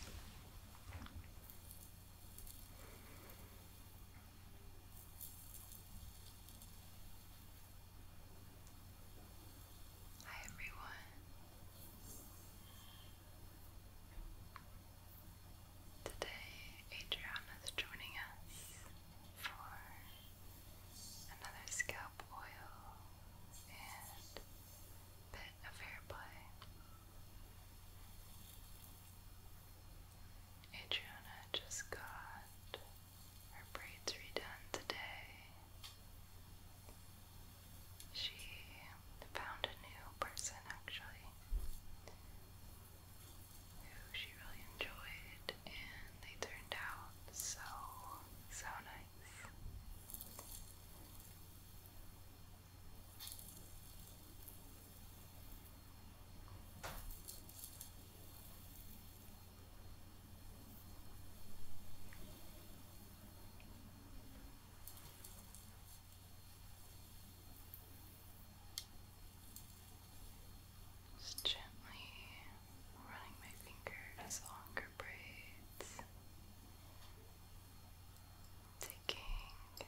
Hi everyone. Today Adriana is joining us for another scalp oil and bit of hair play. Adriana just got her braids redone today. She found a new person actually who she really enjoyed, and they turned out so, so nice. Just gently running my finger as longer braids taking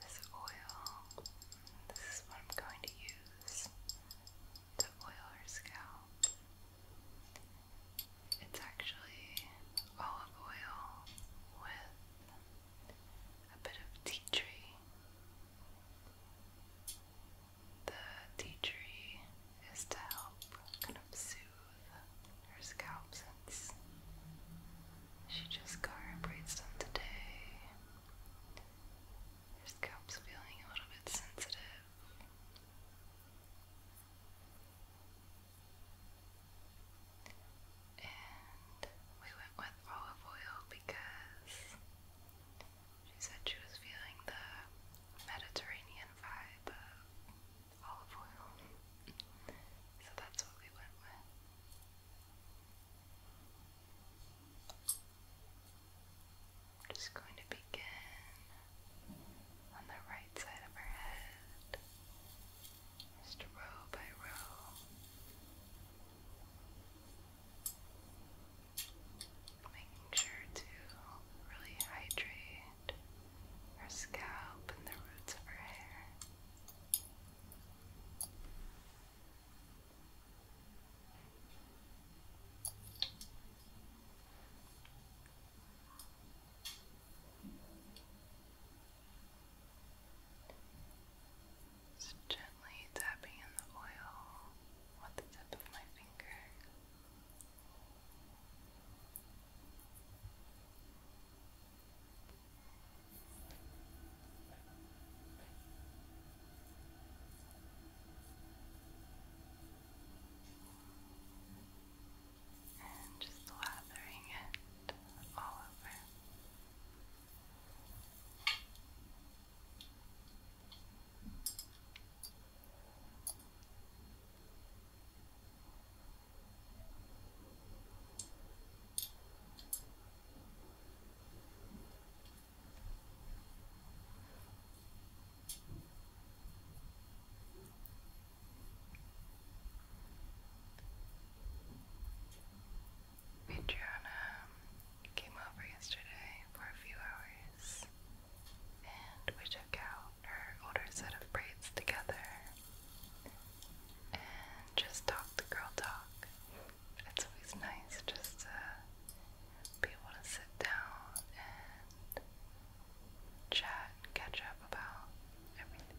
this oil. This is what I'm going to use to oil her scalp. It's actually olive oil with a bit of tea tree. The tea tree is to help kind of soothe her scalp she just got her braids done today. Her scalp's feeling a little bit sensitive. And we went with olive oil because she said she was feeling the Mediterranean vibe olive oil. So that's what we went with. I'm just going to begin on the right side of her head, just row by row. Making sure to really hydrate her scalp and the roots of her hair. Just gently tapping in the oil with the tip of my finger. And just lathering it all over. And Adriana came over yesterday for a few hours and we took out her older set of braids together and just talked the girl talk. It's always nice just to be able to sit down and chat and catch up about everything.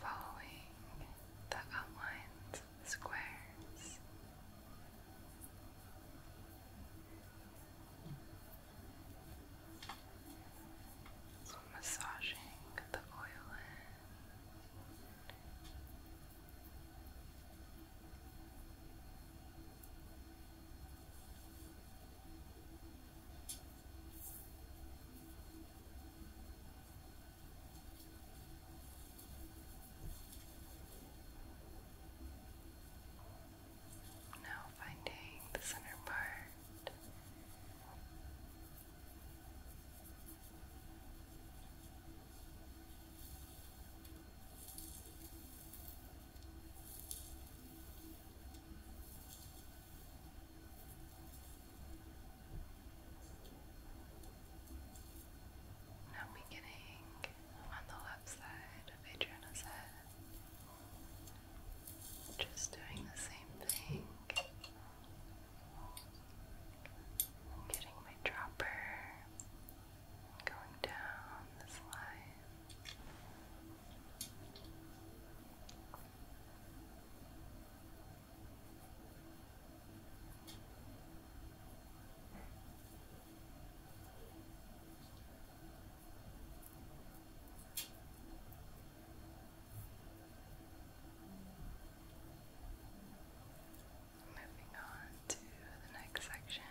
Following the outlines of the squares, so massaging the oil in. Now finding the center part. Now beginning on the left side of Adriana's head. Just doing the same thing. Getting my dropper going down this line. Moving on to the next section.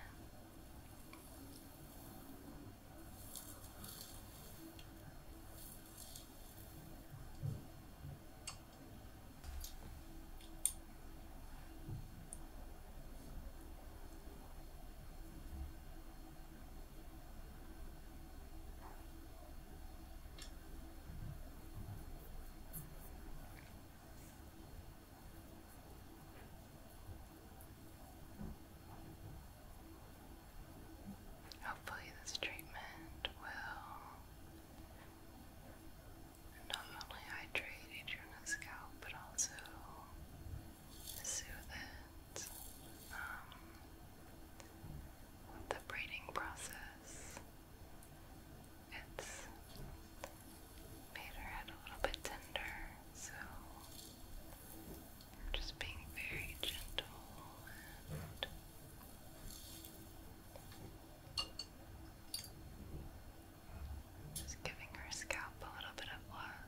Hopefully, this treatment will not only hydrate your scalp but also soothe it um, the braiding process. It's made her head a little bit tender, so just being very gentle and just giving her scalp a little bit of love.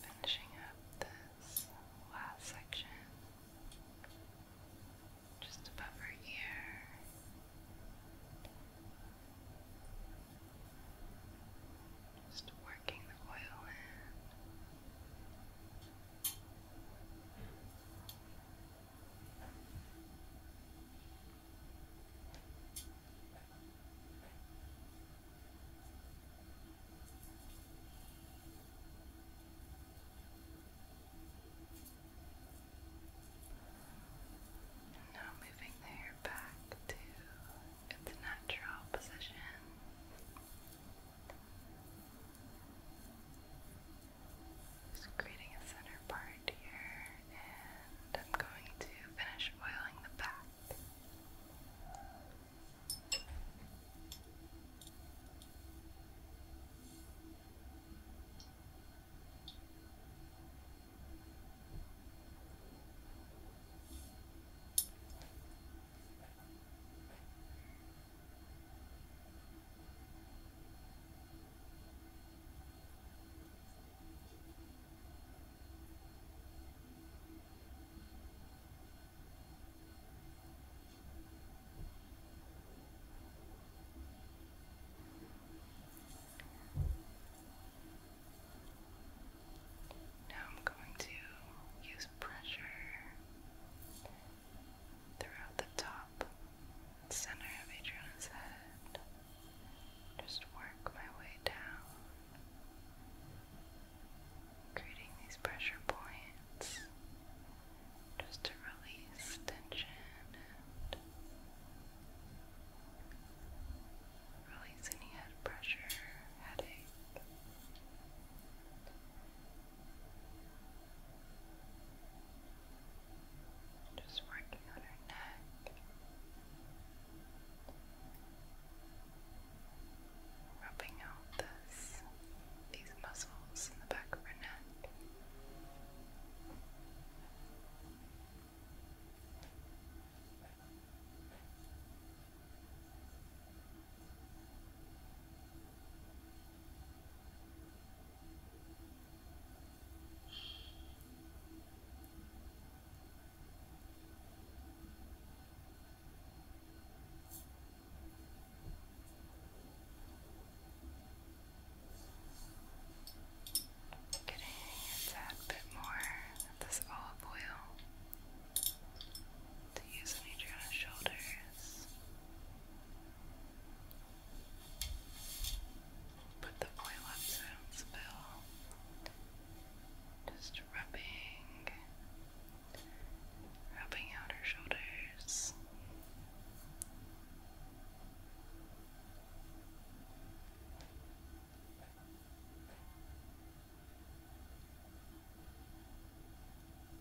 Finishing up this last section just above her ear. Just working the oil in. Now moving the hair back to its natural position. Just creating a center part here, and I'm going to finish oiling the back. Now I'm going to use pressure throughout the top center of Adriana's head. Just work my way down, creating these pressure points just to release tension and release any head pressure, headache. Just working on her neck. Rubbing out this, these muscles in the back of her neck. Getting a tad bit more of this olive oil to use on each shoulders. Put the oil up so I don't spill. Just rubbing, rubbing out her shoulders.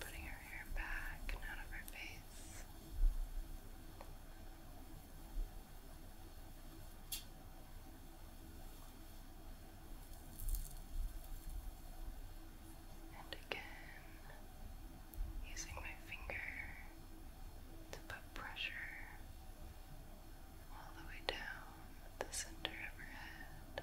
Putting her hair back and out of her face. And again, using my finger to put pressure all the way down the center of her head.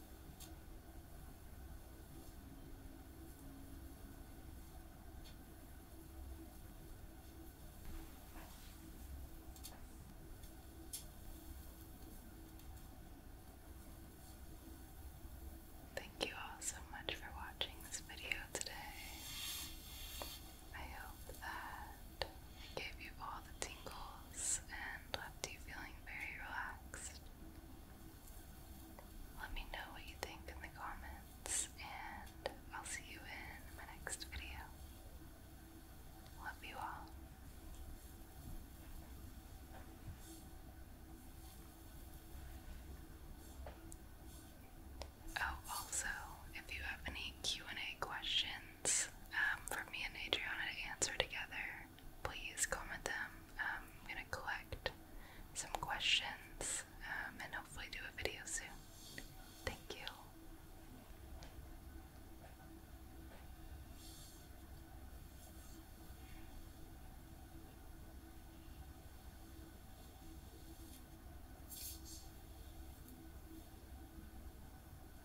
Thank you all so much for watching this video today. I hope that I gave you all the tingles and left you feeling very relaxed. Let me know what you think in the comments, and I'll see you in my next video. Love you all. Oh, also, if you have any Q&A questions, um, for me and Adriana to answer together, please comment them. Um, I'm going to collect some questions um, and hopefully do a video soon. Thank you.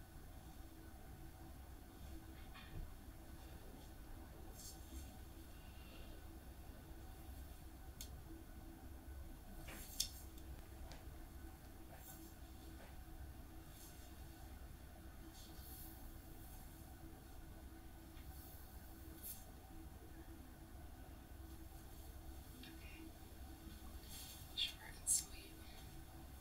Okay. Short and sweet.